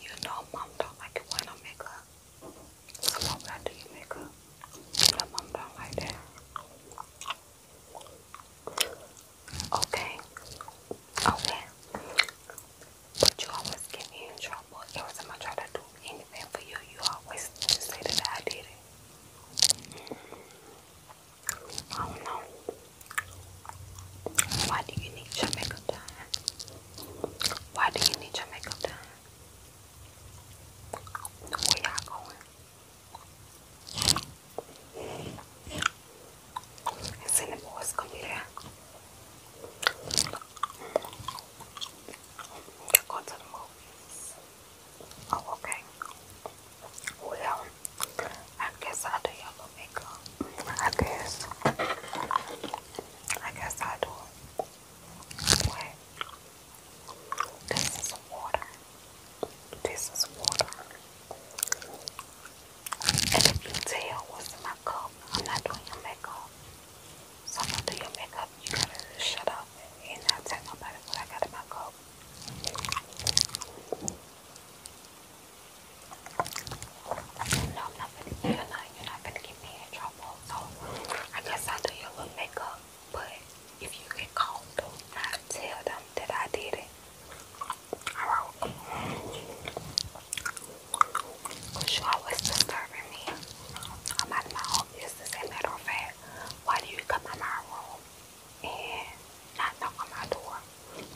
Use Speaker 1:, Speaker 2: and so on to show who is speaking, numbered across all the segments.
Speaker 1: You know, mom don't like it when I make up. Come over after you make up. My mom don't like that. Okay. Okay. But you always get me in trouble. Every time I try to do anything for you, you always say that I did it. Mm -hmm. I don't know. Why do you need your makeup done? Why do you need your makeup done? Where you going? And the boys gonna be there. Go the movies. Oh, okay. Well, I guess i do your makeup. I guess. I guess i do Wait. This is water. This is water. And if you tell what's in my cup, I'm not doing your makeup. So do your makeup. You got shut up and not tell nobody what I got in my cup. No, I'm not you are not gonna get me in trouble. So I guess i do your little makeup. But if you get caught, don't tell them that I did it. Alright. Cause you always disturbing me. I'm out my own business. As a matter why do you come in my room? and not knock on my door.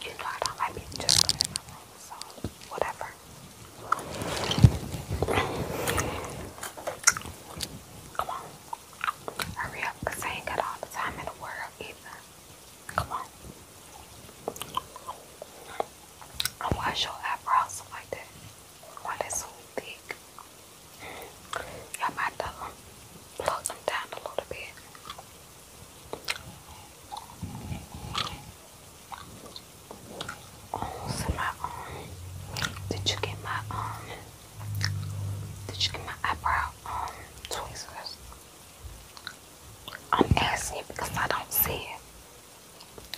Speaker 1: You know I don't like people just in my room, so whatever. Come on. Hurry up, because I ain't got all the time in the world either. Come on. And wash your eyebrows like that. Why they so thick? I might have to um, them down a little bit. Oh, um, did you get my um, did you get my eyebrow um tweezers? I'm asking you because I don't see it.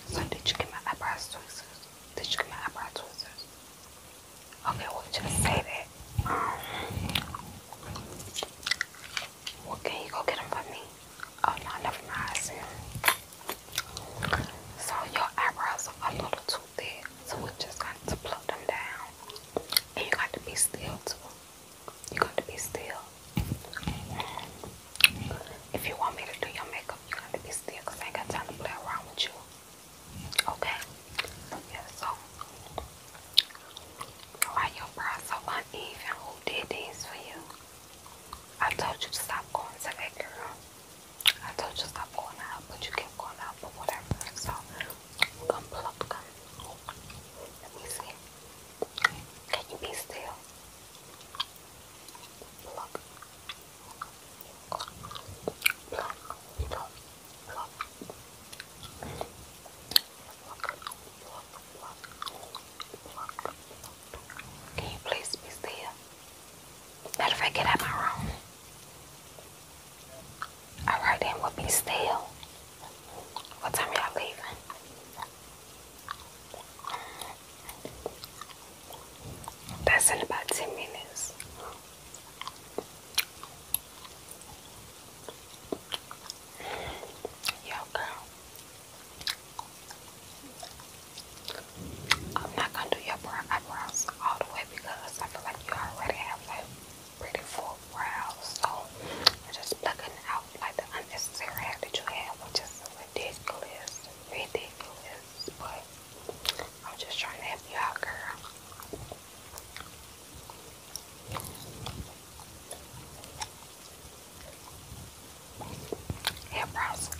Speaker 1: So did you get my eyebrows tweezers? Did you get my eyebrow tweezers? Okay, we'll just save it. Um, can you go get them for me? Oh no, never mind. So your eyebrows are a little too thick, so we're just going to pluck them down. And you got to be still too. You got to be still. If you want me to do your makeup, you got to be still, cause I ain't got time to play around with you. Okay. Yeah, so why your brows so uneven? Who did these for you? I told you to stop going to that girl. I told you to stop going out, but you kept going out for whatever. So we're gonna pluck Let me see. Can you be still? Pluck. Can you please be still? Matter of fact, get out my room. Alright then, we be still. What time y'all leaving? That's in about 10 minutes. Yo, girl. I'm not gonna do your eyebrows all the way because I feel like you already have like pretty full brows. So I'm just plucking out like the unnecessary hair that you have, which is ridiculous, ridiculous. But I'm just trying to help you out, girl. Hair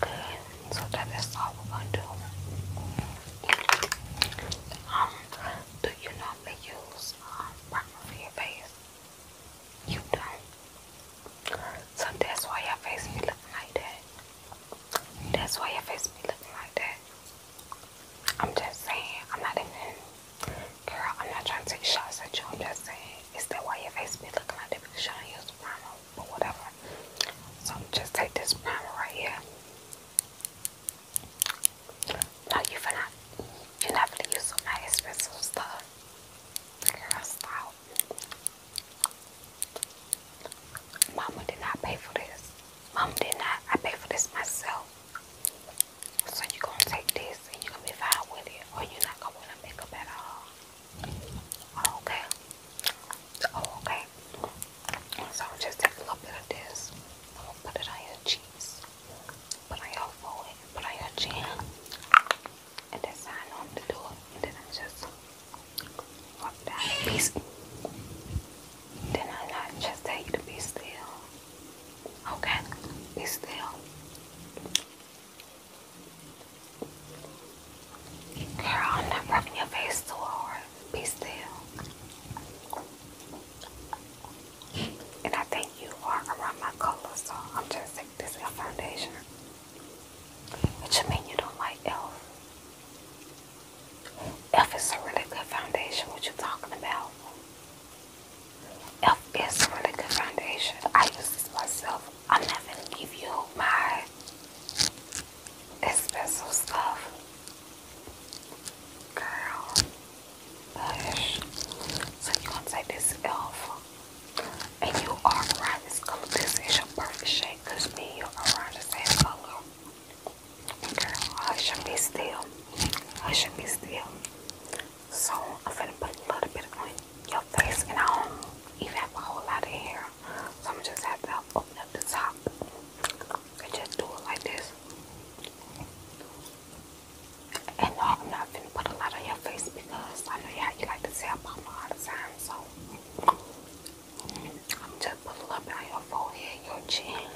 Speaker 1: good, so that is all we're gonna do. Um, do you normally use um primer your face? You don't. So that's why your face be looking like that. That's why your face be looking like that. I'm just saying, I'm not even, girl, I'm not trying to take shots at you, I'm just saying, is that why your face be looking like that? Because you don't use primer, but whatever. So just take this primer right here. No, you finna, you never use some my expensive stuff. Girl, stop. Mama did not pay for this. Mama did not. I paid for this myself. So you going to take this and you going to be fine with it or you not going to make up at all. okay. Oh, okay. So i just taking a little bit of this. I'm going to put it on your cheeks. Put on your forehead. Put on your chin and I sat on the door and then I just walked out a piece. Then I just tell you to be still. Okay, be still. Girl, I'm not rubbing your face too hard. Be still. And I think you are around my color, so I'm just taking this foundation. What you mean you don't like Elf? Elf is a really good foundation. What you talking about? Elf is a really good foundation. I use this myself. I'm not gonna give you my espresso stuff. Girl. Gosh. So you're take this Elf. And you are around this color. This is your perfect shade because me and you are around the same color. Girl, I should be still. I should be still. So I'm finna put a little bit on your face and I don't even have a whole lot of hair. So I'm just have to open up the top and just do it like this. And no, I'm not finna put a lot on your face because I know how you like to say about me all the time. So I'm just put a little on your forehead, your chin,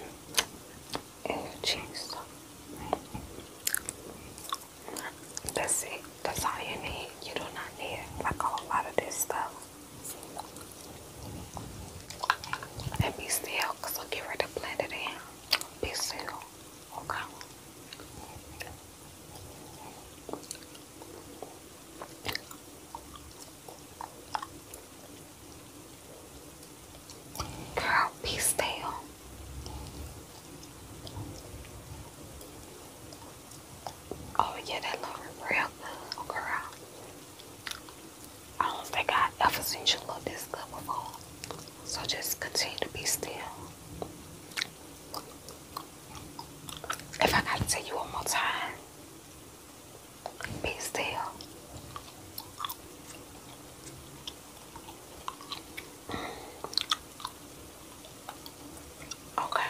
Speaker 1: and your cheeks. That's it. That's all you need. You do not need like a lot of this stuff. And be still, i I'll get ready to blend it in. Be still, okay? Girl, be still. Oh yeah, that look real girl. I don't think I ever seen you look this good before. So just continue to be still. If I gotta tell you one more time, be still. Okay.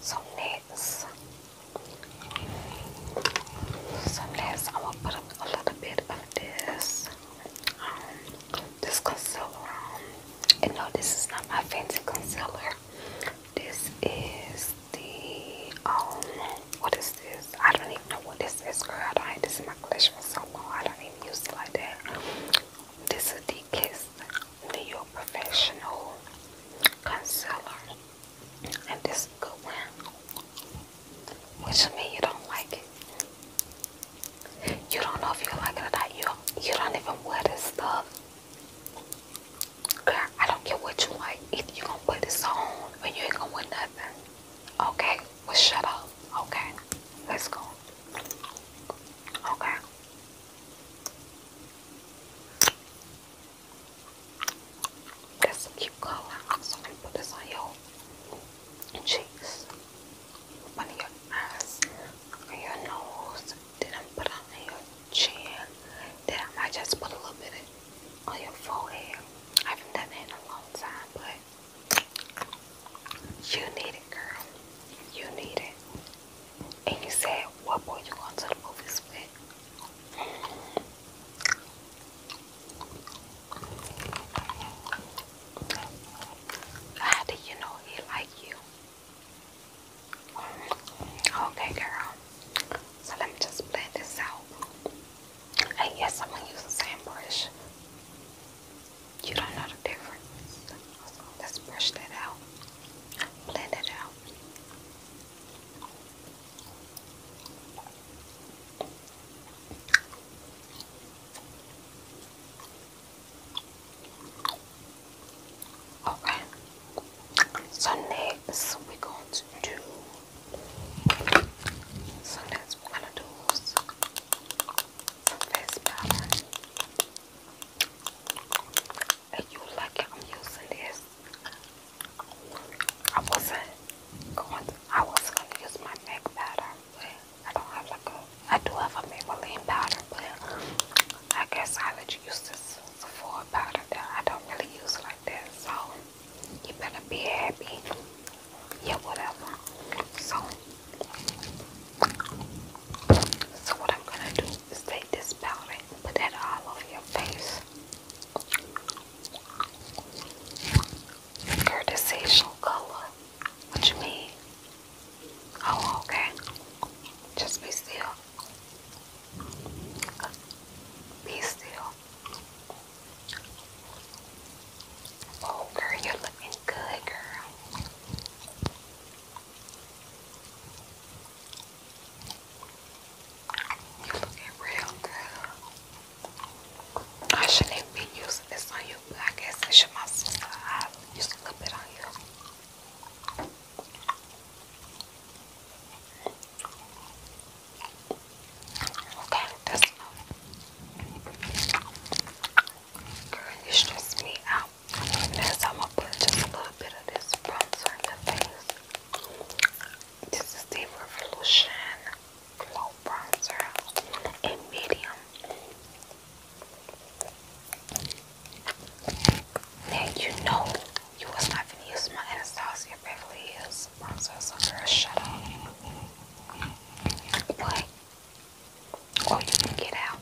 Speaker 1: So next, so next I'm gonna put a little bit of this um, this concealer um, And no, this is not my fancy concealer. This is the, um, what is this? I don't even know what this is, girl. I don't have this in my collection for so long. I don't even use it like that. This is the Kiss New York Professional Concealer. And this is a one. Which I mean you don't like it. You don't know if you like it or not. You you don't even wear this stuff. Girl, I don't care what you like. Either you gonna put this on or you ain't gonna wear nothing. Okay, well shut up. Okay. Let's go. Okay. That's a cute color. I'm gonna put this on your cheeks, on your eyes, on your nose, then i put on your chin, then I just put a little bit on your forehead. I haven't done that in a long time, but you need it, girl. You need it. And you said, what boy you going to the movies with? How do you know he like you? Okay, girl. So let me just blend this out. And yes, I'm gonna use the same brush. You don't know the difference. let's brush that out. Blend it out. Okay. So next we're going to do so next we're gonna do face powder. And you like I'm using this. I wasn't going I was gonna use my MAC powder. I don't have like a, I do have a Maybelline powder, but I guess I let you use this Sephora powder that I don't really use like that, so you better be happy. Yeah, whatever. So, so what I'm gonna do is take this powder put that all over your face. Courtesy color. What you mean? Oh, okay. Just be still. Be still. Oh, girl, you're looking good, girl. You're looking real good. I shouldn't be using this on you, but I guess uh, it should myself. I used a little bit on you. Okay, that's enough. Girl, you stress me out. Next time I'll put just a little bit of this bronzer on your face. This is the Revolution Low bronzer in medium. Now you know you was not gonna use my Anastasia Beverly Hills bronzer, so girl, shut up. But oh, you can get out.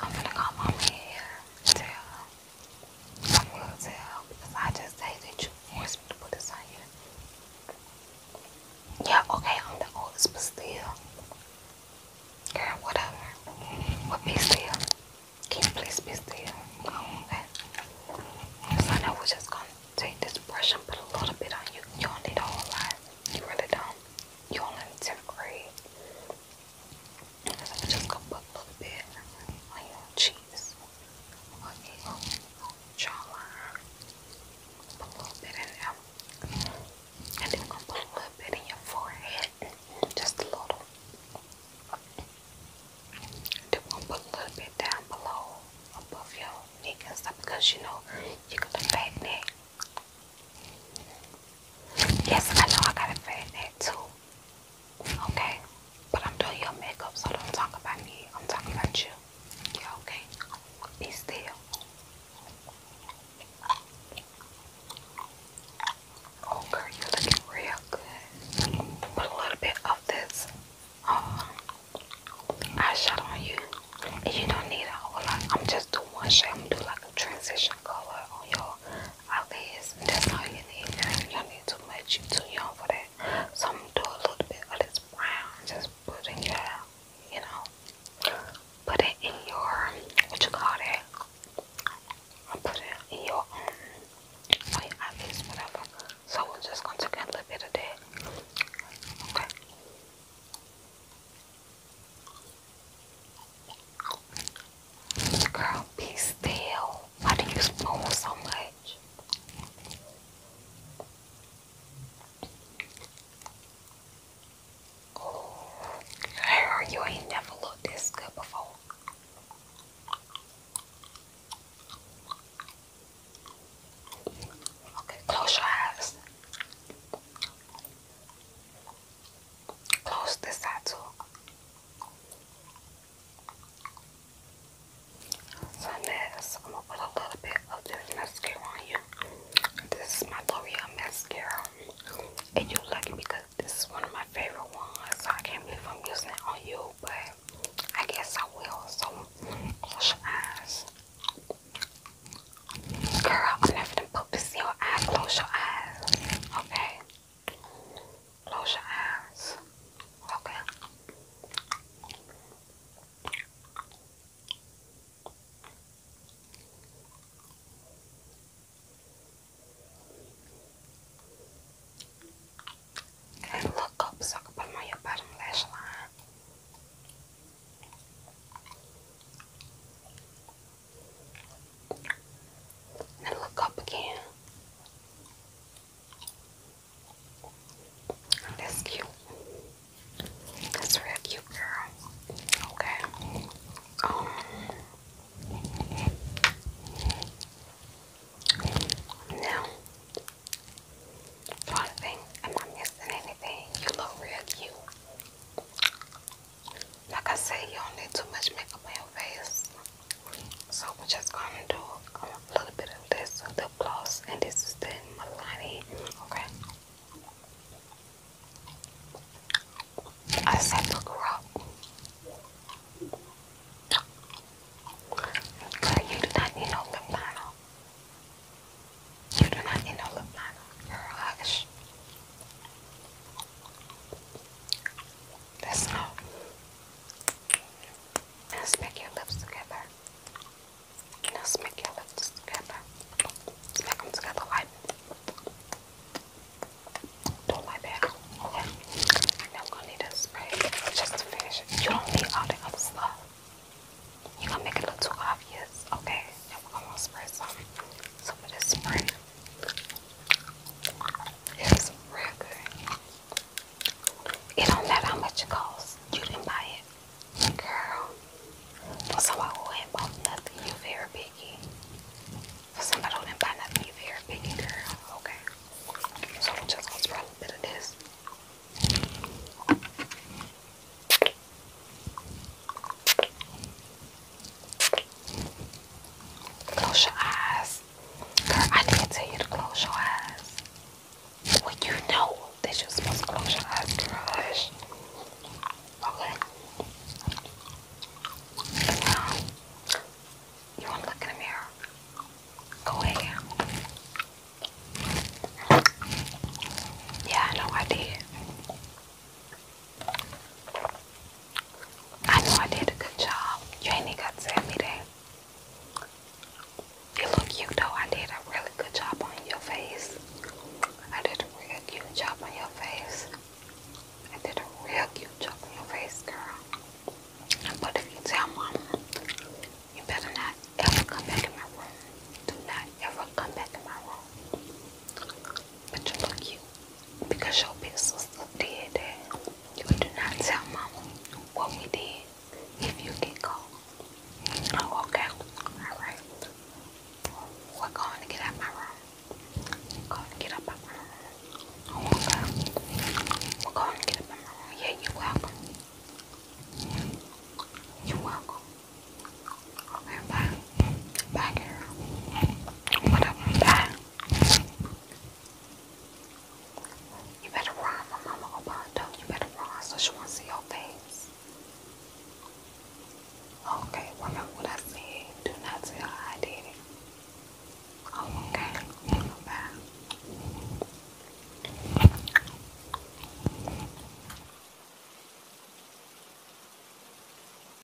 Speaker 1: I'm gonna call mama here and tell her. I will tell I just say that you forced me to put this yeah, okay, I'm the oldest, but still. Girl, whatever. But be still. Can you please be still? okay. So now we're just gonna take this brush and put a little bit on you. You don't need a whole lot. You really do You only in 10th grade. So just gonna put a little bit on your cheeks oil, jawline, put a little bit in there, and then put a little bit in your forehead, just a little. then we're put a little bit down below, above your neck and stuff, you know you got a fat neck. Yes, I know I got a fat neck too. Okay? But I'm doing your makeup, so don't talk about me. I'm talking about you. okay? Be still. Oh, girl, you're looking real good. Put a little bit of this um, eyeshadow on you. you don't need a whole lot. I'm just doing one shade. I'm gonna do like a transition color on your eyelids. That's all you need. You don't need too much. you too young for that. Some do a little bit of this brown, just put in you know, put it in your, what you call it? I put it in your um, on whatever. So we're just gonna take a little bit of that. Okay. Girl, be still. Why do you spoon so much? hair, you ain't never looked this good before. Okay, close your eyes. Close this eye too. So next, I'm gonna put a little bit of this mascara on you. This is my L'Oreal mascara. And you're lucky because this is one of my favorite ones. So I can't believe I'm using it on you, but I guess I will. So close your eyes. Girl, I'm never gonna put this in your eyes. Close your eyes. Okay. Close your eyes. Okay. And look up so I can put them on your bottom lash line. And look up again. That's cute. That's real cute girl. Okay. Um, now, trying am I missing anything? You look real cute. Like I said, you do need too much makeup on your face. So we're just gonna do a little bit of this lip gloss, and this is the Milani. Okay. I said look her you do not need no lip liner. You do not need no lip liner. hush. Let's go. Now smack your lips together. Now smack your lips together. Smack them together like. Don't like that. Okay. I'm going need a spray just to finish You don't need all the other stuff. You're gonna make it look too obvious, okay? Now we're gonna spray some. So for this spray, it's real good. It don't matter how much it costs. You didn't buy it. Girl, for somebody who ain't bought nothing, you very picky. For somebody who didn't buy nothing, you very picky, girl. Okay. So just gonna spread a little bit of this. Close your eyes. Girl, I didn't tell you to close your eyes. When you know that you're supposed to close your eyes, girl, Okay. And you want to look in the mirror? Go ahead. Yeah, I know I know I did a good job. You ain't got to tell me You look you though. I did a really good job on your face. I did a real cute job on your face. I did a real cute job on your face, girl. But if you tell mom, you better not ever come back in my room. Do not ever come back in my room. But you look cute because your big sister did that. You do not tell mama what we did if you get caught. Oh, okay. Alright. We're going to get out my room. going to get out my room. Oh, okay. We're going to get out my room. Yeah, you welcome. you welcome. Okay, bye. Bye, Whatever. Bye. You better run for Mama Obando. Oh, you better run so she won't see your face. Okay, remember what I said. Do not tell I did it. Oh, okay. Bye.